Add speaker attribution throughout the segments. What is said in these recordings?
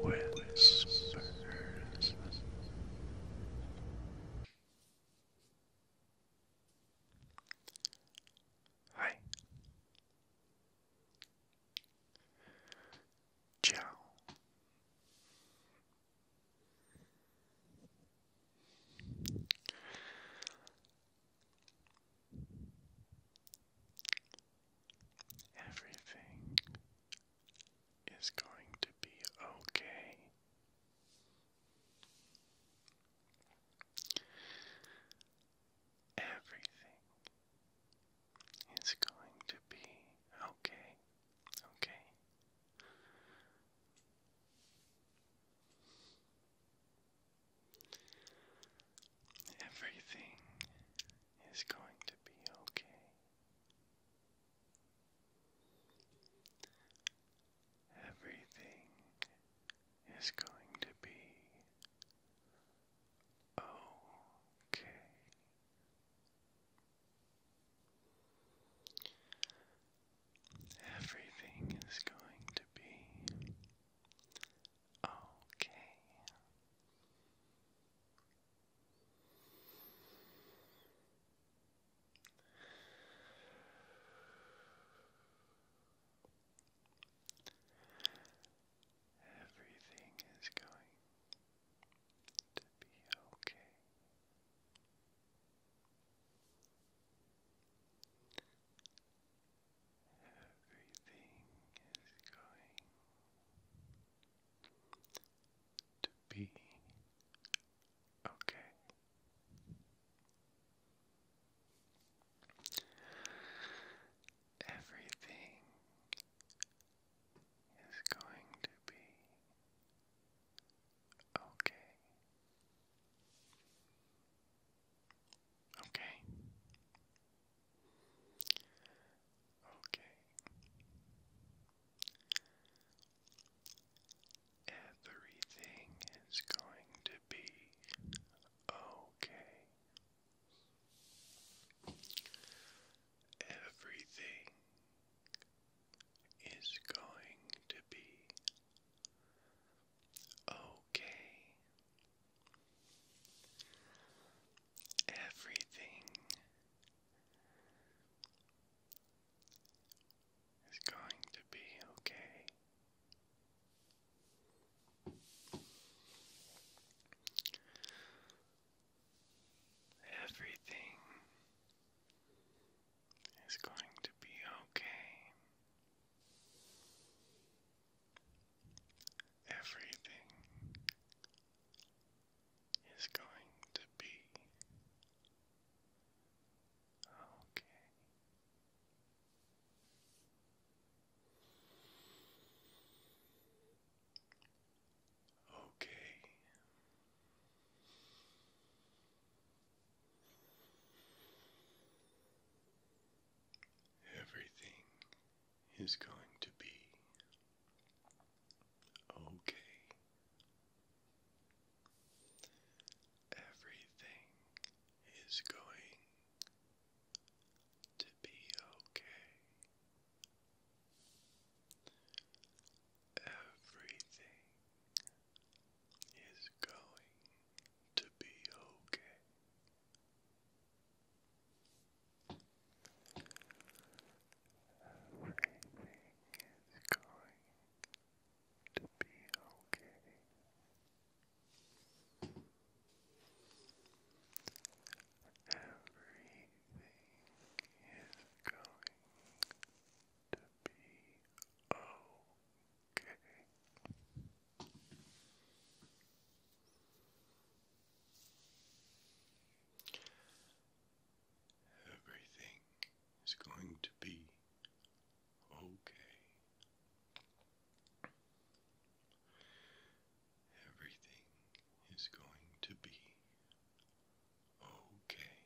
Speaker 1: Wandering Whispers. Hi. Ciao. Everything is going to be okay. Everything is going to be okay. Okay. Everything is going to be okay. Everything is going to be okay. Everything is going to be okay. Everything is going to be okay. Everything is going to be okay. Everything is going to be Okay. Okay.
Speaker 2: Okay. Everything is going to be okay. Everything is going to be okay. Everything is going to be okay. Everything it's going to be okay. Everything is going to be okay. Okay. Everything is going to be okay. Everything is going to be okay. Everything is going to be okay. Everything is going to be okay. Everything is going to be okay. Everything is going to be okay. Everything is going to be okay.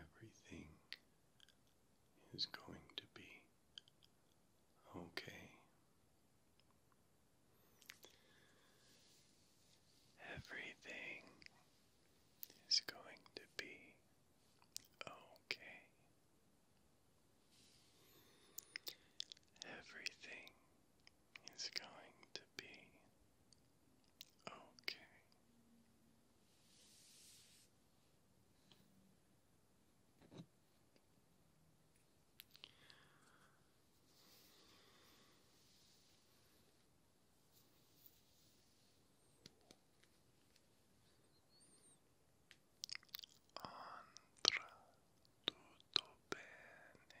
Speaker 2: Everything is going to be okay. Everything is going to be okay. Everything it's going to be okay. Andra tutto bene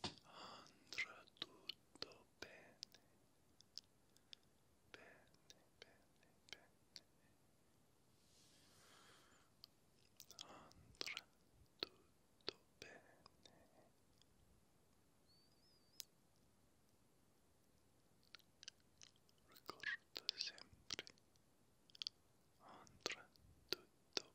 Speaker 2: andrà tutto bene bene
Speaker 1: bene bene andrà tutto bene Ricorda sempre andrà tutto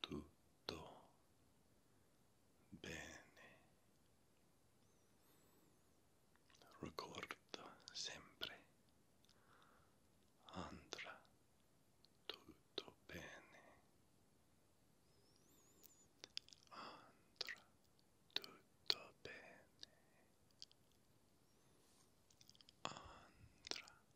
Speaker 1: tutto bene. Ricorda sempre, andrà tutto bene. Andrà tutto bene. Andrà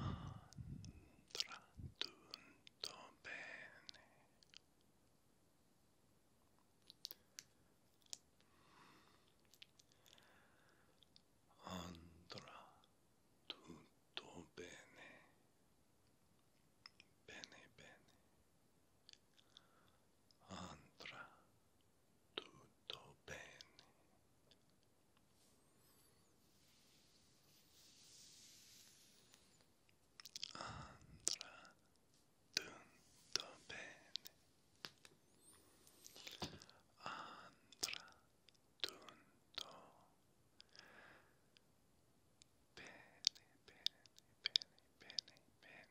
Speaker 1: andrà tutto bene andrà tutto bene bene bene andrà tutto bene. Andrà tutto bene. Andrà tutto bene, bene, bene, bene, bene.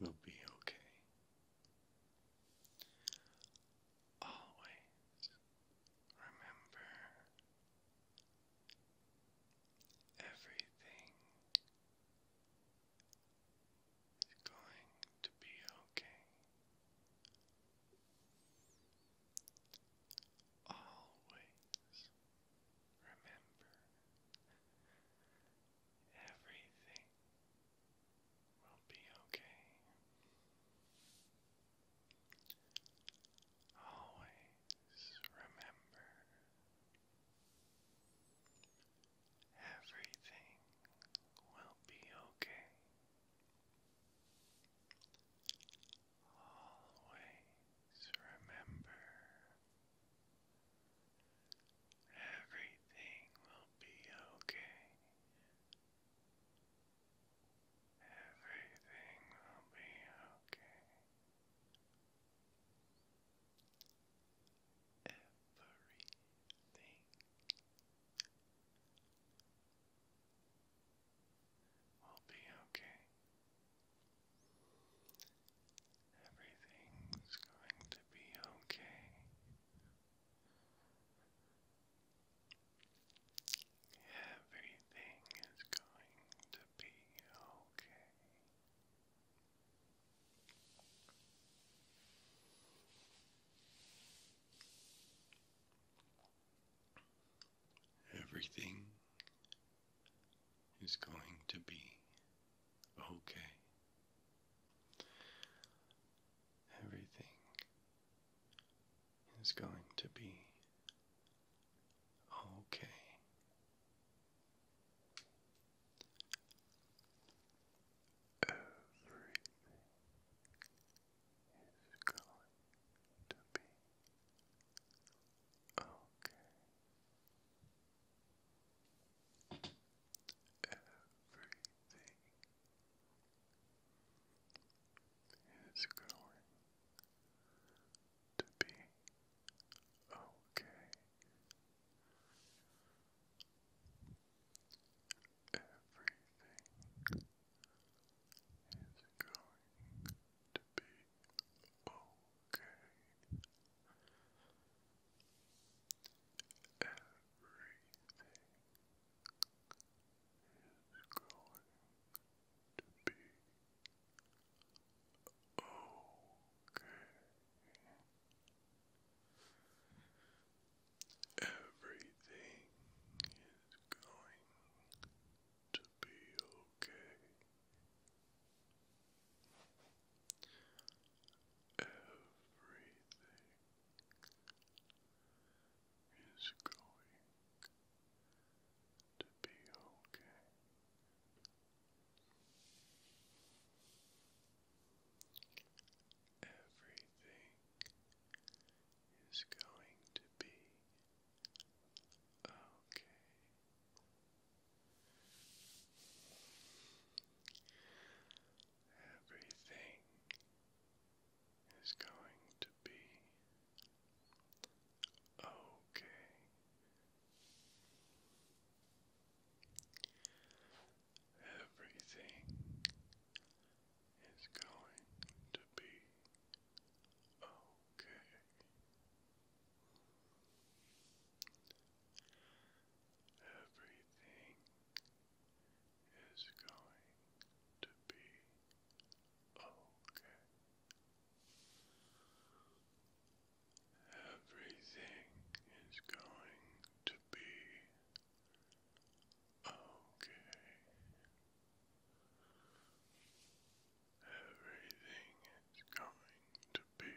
Speaker 2: we will be okay. Always remember everything is going to be okay. Always remember Everything will be okay. Always remember everything will be okay. Always remember Everything will be okay. Everything will be okay. Everything will be okay. Everything's going to be okay. Everything is going to be okay. Everything is going to be okay. Everything is going to be okay. Everything is going to be okay. Everything is going to be okay. Everything is going to be okay to be okay. Everything is going to be okay. Everything is going to be okay. Everything is going to be okay. Everything is going to be okay. Everything is going to be okay. Everything is going to be okay. Everything is going to be okay.
Speaker 1: Everything is going to be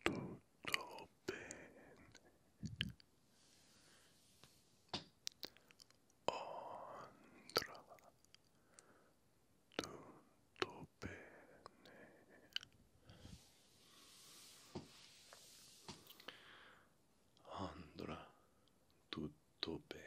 Speaker 1: tutto bene andrà tutto bene andrà tutto bene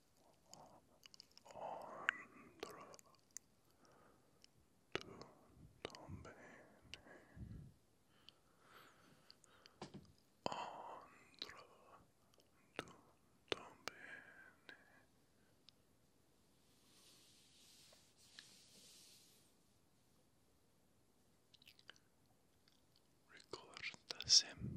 Speaker 2: andrò tutto bene andrò tutto bene Ricorda sempre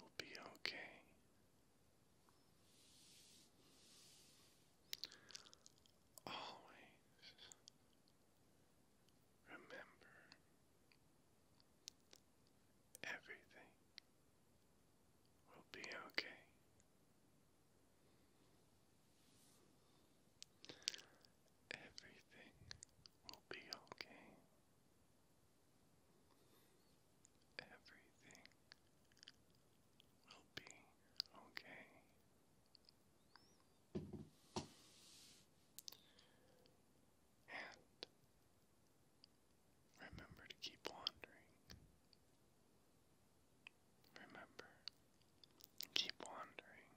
Speaker 2: will be okay. Always remember everything will be okay. Everything will be okay. Everything will be okay. And remember to keep wandering. Remember, keep wandering.